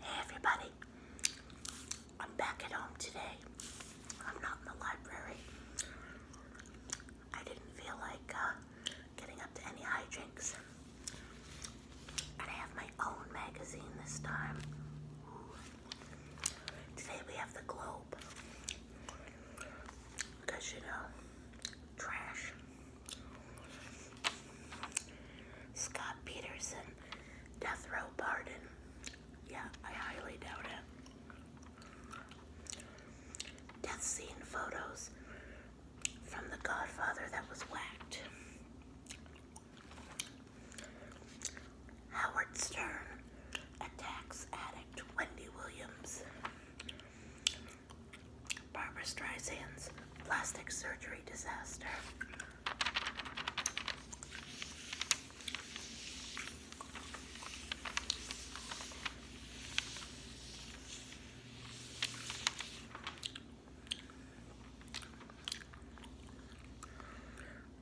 Hey everybody, I'm back at home today. I'm not in the library. I didn't feel like uh, getting up to any high drinks. And I have my own magazine this time. Today we have the Globe. Because you know, trash. Scott Peterson, death row pardon. Yeah, I highly doubt it. Death scene photos from the Godfather that was whacked. Howard Stern attacks addict Wendy Williams. Barbara Streisand's plastic surgery disaster.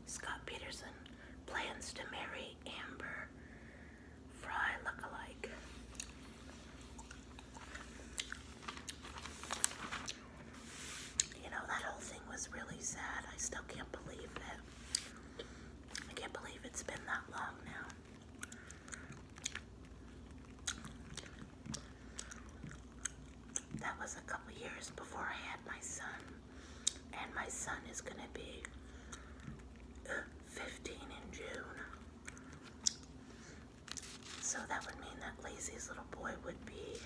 Scott Peterson plans to marry Amber Fry lookalike. You know, that whole thing was really sad. I still can't believe it. I can't believe it's been that long now. That was a couple years before I had my son. And my son is going to be uh, 15 in June. So that would mean that Lazy's little boy would be.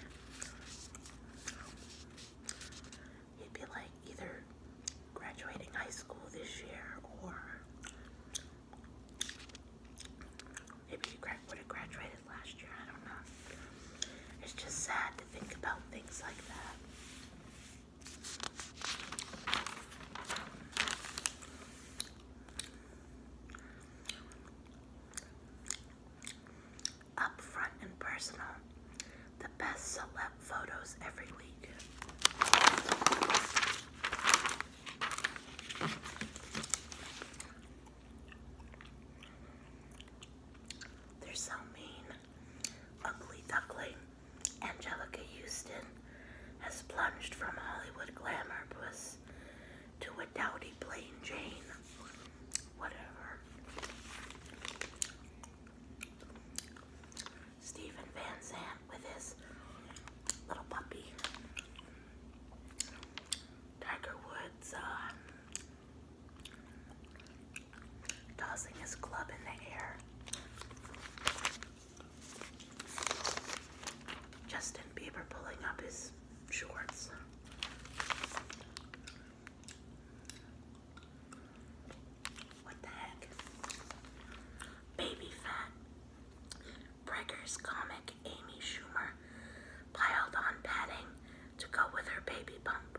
He'd be like either graduating high school this year or maybe he would graduated last year. I don't know. It's just sad to think about things like that. Upfront and personal. The best celeb photos every week. They're so mean. Ugly Duckling, Angelica Houston, has plunged from Hollywood glamour to a doughty plain Jane. Whatever. Stephen Van Zandt with his little puppy. Tiger Woods um, tossing his club in the air. Justin Bieber pulling up his shorts. Baby fat. Breggers comic Amy Schumer piled on padding to go with her baby bump.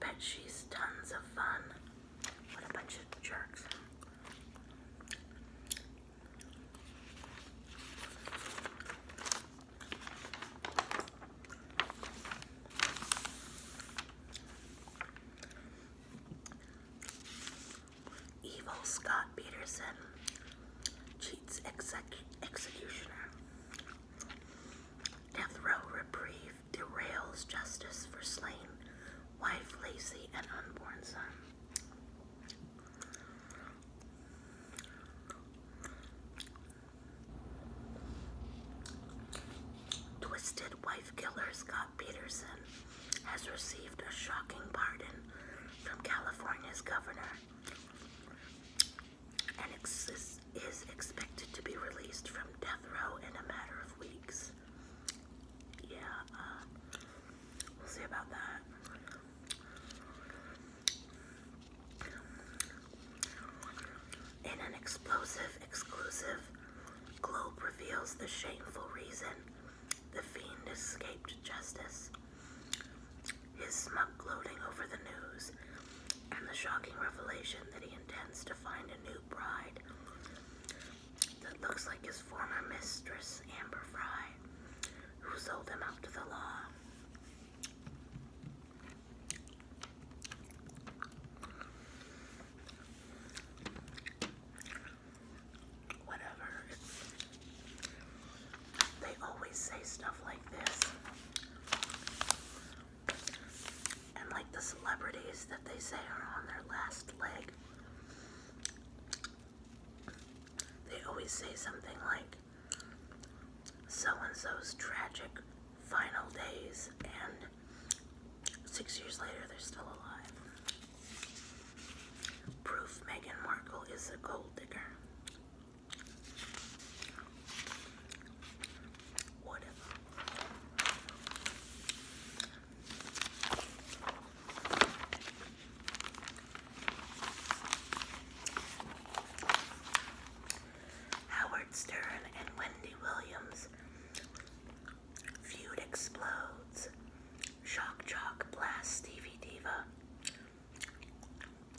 Bet she's tons of fun. What a bunch of jerks. Evil Scott Peterson cheats executioner. Death row reprieve derails justice for slain wife, Lacey, and unborn son. Twisted wife killer Scott Peterson has received a shocking pardon from California's governor and is expected to be released from death row in a matter of weeks. Yeah, uh, we'll see about that. In an explosive exclusive, Globe reveals the shameful reason the fiend escaped justice. His smug gloating over the news and the shocking revelation that he intends to find a new bride that looks like his former mistress, Amber Fry who sold them out to the law. Whatever. They always say stuff like this. And like the celebrities that they say are on their last leg. They always say something like, so and so's tragic final days, and six years later they're still alive. Proof Meghan Markle is a gold digger. Whatever. Howard Stern and Wendy Williams. Feud explodes. Shock Jock Blast Stevie Diva.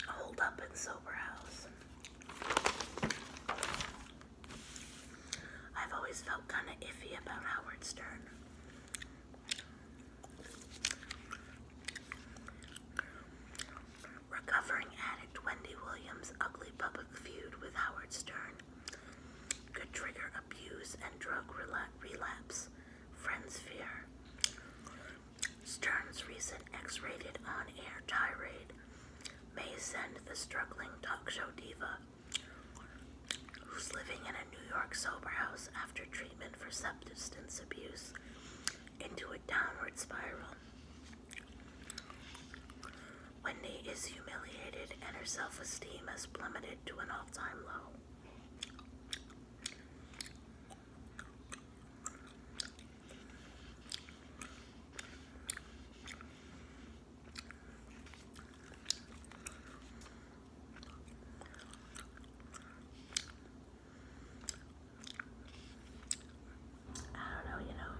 Hold up in Sober House. I've always felt kind of iffy about Howard Stern. Recovering addict Wendy Williams' ugly public feud with Howard Stern could trigger abuse and drug relapse, friends fear. Stern's recent X rated on air tirade may send the struggling talk show diva, who's living in a New York sober house after treatment for 17 Distance abuse into a downward spiral. Wendy is humiliated and her self esteem has plummeted to an all time low. I don't know, you know.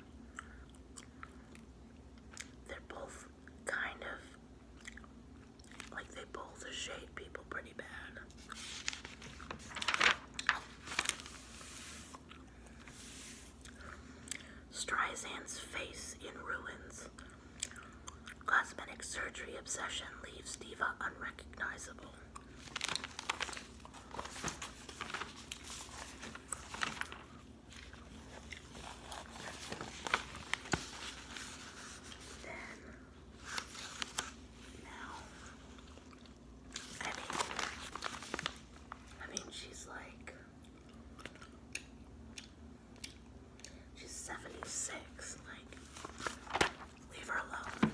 They're both kind of like they both shade people pretty bad. Streisand's face in ruins. Cosmetic surgery obsession leaves Diva unrecognizable. Then now I mean I mean she's like She's 76. Like, leave her alone.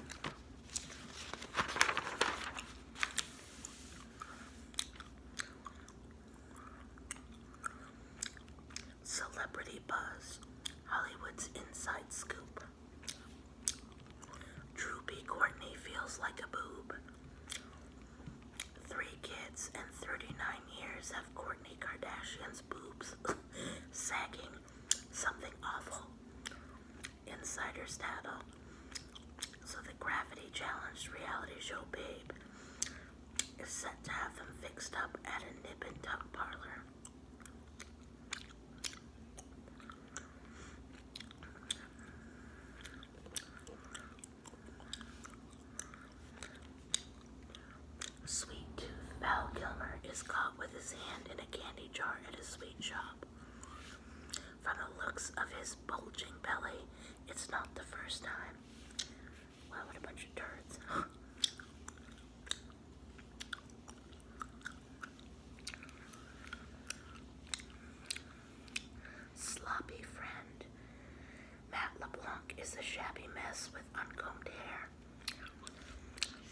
Celebrity Buzz, Hollywood's Inside Scoop. Drew Courtney feels like a boob. Three kids and 39 years of Courtney Kardashian's boobs sagging something awful. Insider's data. So the gravity challenged reality show Babe is set to have them fixed up at a nip and tuck parlor. Sweet Tooth Val Kilmer is caught with his hand in a candy jar at a sweet shop. From the looks of his bulging belly, it's not the first time. Wow, what a bunch of turds. Sloppy friend. Matt LeBlanc is a shabby mess with uncombed hair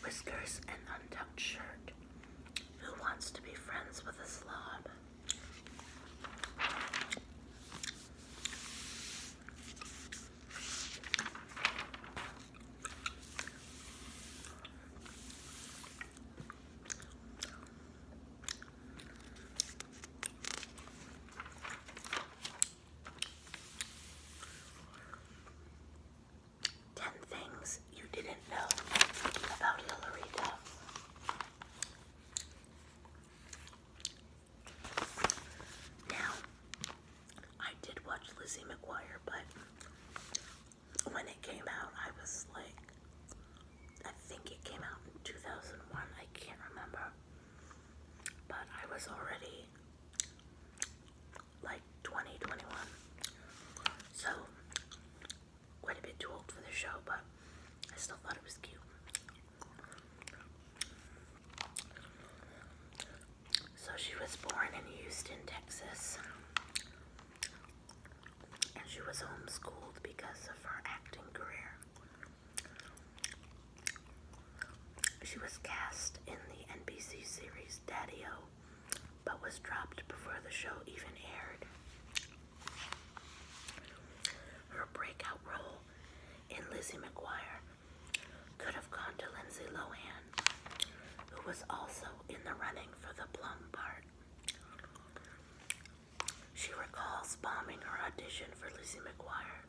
whiskers, and untucked shirt. Who wants to be friends with a slob? 10 things you didn't know about Hillary Duff. Now, I did watch Lizzie McGuire, but when it came out, I was like, I think it came out in 2001, I can't remember. But I was already like 20, So, quite a bit too old for the show, but I still thought it was cute. So, she was born in Houston, Texas, and she was homeschooled because of her acting career. She was cast in the NBC series Daddy O but was dropped before the show even aired. Her breakout role in Lizzie McGuire could have gone to Lindsay Lohan, who was also in the running for the plum part. She recalls bombing her audition for Lizzie McGuire,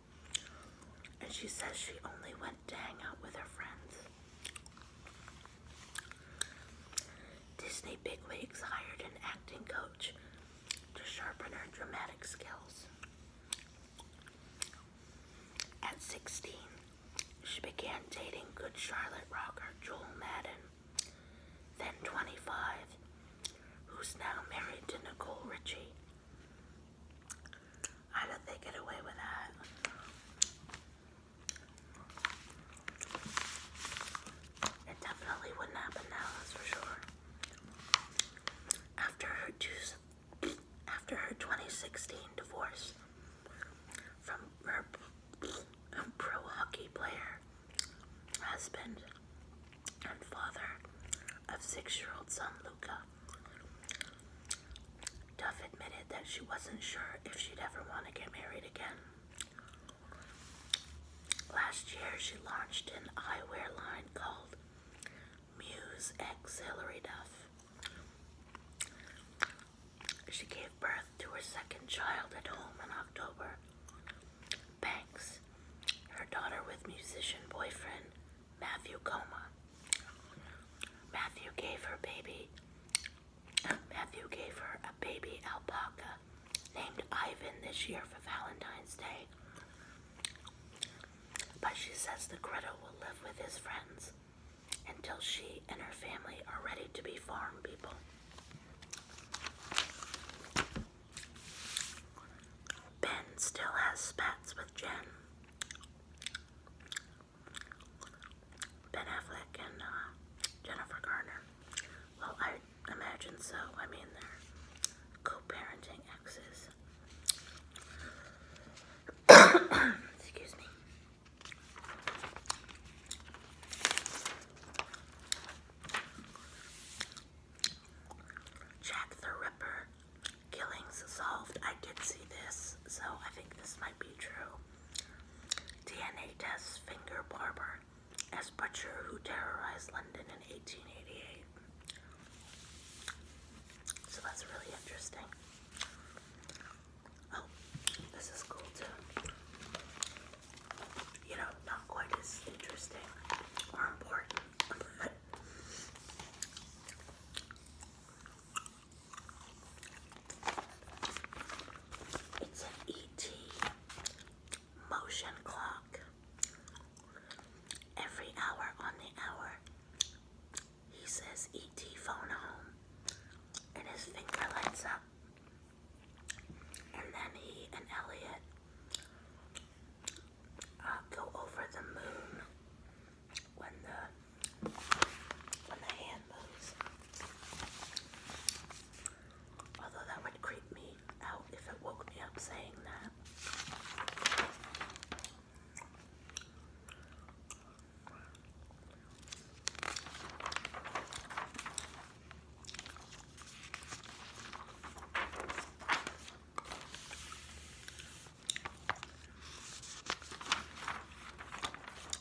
and she says she only went to hang out with her friends. Disney bigwigs hired an acting coach to sharpen her dramatic skills. At 16, she began dating Good Charlotte rocker Joel Madden, then 25, who's now married to Nicole Richie, I don't think get away with that? It definitely wouldn't happen now, that's for sure. After her two, after her 2016 divorce from her pro hockey player, husband, and father of six-year-old son Luca, Duff admitted that she wasn't sure if she'd ever want to get married again. Last year, she launched an eyewear line called Muse X Hillary Duff. She gave birth to her second child at home in October. Banks, her daughter with musician boyfriend Matthew Coma. Matthew gave her baby. Matthew gave her a baby alpaca named Ivan this year for Valentine's Day. But she says the critter will live with his friends until she and her family are ready to be farm people. Ben still has spats with Jen. Ben Affleck and uh, Jennifer Garner. Well, I imagine so. I mean, they're co-parenting exes. Excuse me. Jack the Ripper Killings solved. I did see this, so I think this might be true. DNA test, finger Barber as butcher who terrorized London in 1888. So that's really interesting. Oh, this is cool too. You know, not quite as interesting or important. It's an ET motion clock. Every hour on the hour, he says ET phone home, and his finger lights up. And then he and Elliot uh, go over the moon when the when the hand moves. Although that would creep me out if it woke me up saying that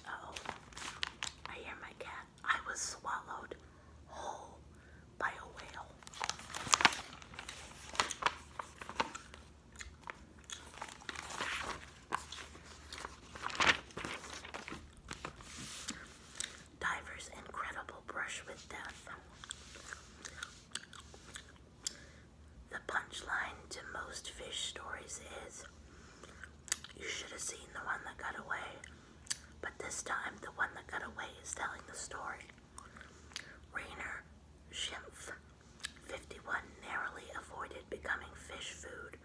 oh, I hear my cat. I was swallowed whole by a whale. Diver's incredible brush with death. The punchline to most fish stories is you should have seen the one that got away, but this time the one that got away is telling the story. Rainer Schimpf, 51, narrowly avoided becoming fish food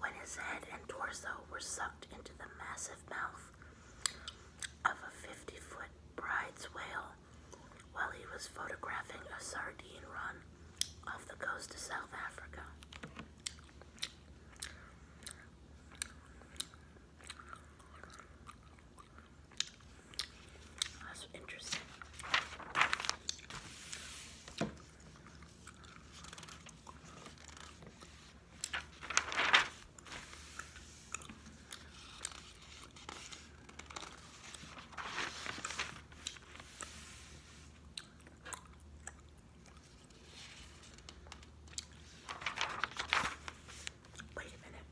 when his head and torso were sucked into the massive mouth of a 50 foot bride's whale while he was photographing a sardine run off the coast of South Africa. That's interesting. Wait a minute.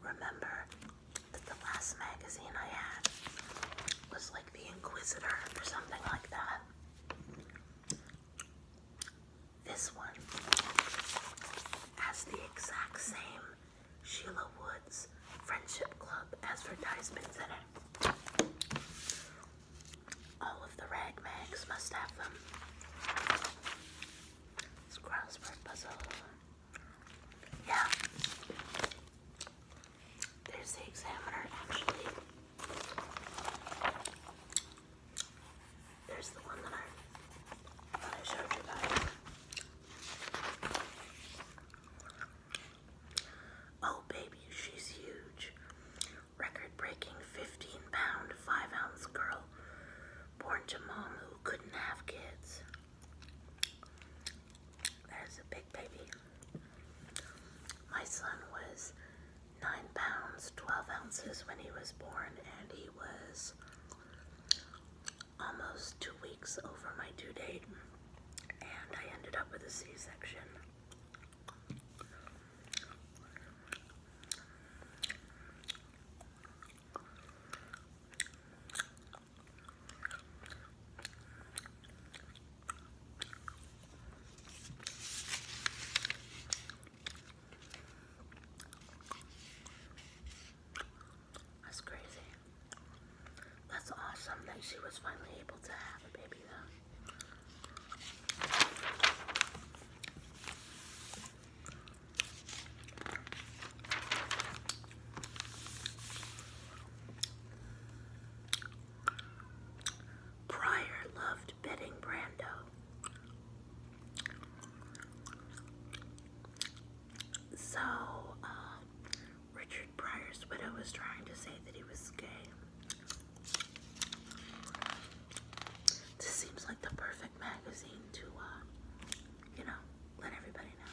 Remember that the last magazine I had was like The Inquisitor or something like that. This one has the exact same Sheila Woods Friendship Club advertisements in it. All of the rag must have them. It's crossword puzzle. Yeah. There's the examiner actually. There's the one that I, showed you guys. Oh, baby, she's huge. Record breaking 15 pound, 5 ounce girl born to mom who couldn't have kids. That is a big baby. My son was 9 pounds, 12 ounces when he was born, and he was almost two weeks over my due date, and I ended up with a C section. That's crazy. That's awesome that she was finally able to have a baby, though. Pryor loved betting Brando. So, um, Richard Pryor's widow was trying to say that he was gay. This seems like the perfect magazine to, uh, you know, let everybody know.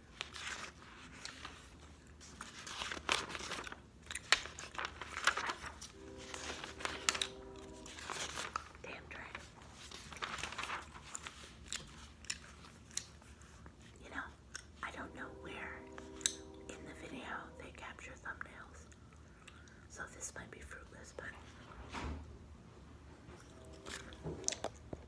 Damn dry. You know, I don't know where in the video they capture thumbnails. So this might be fruitless, but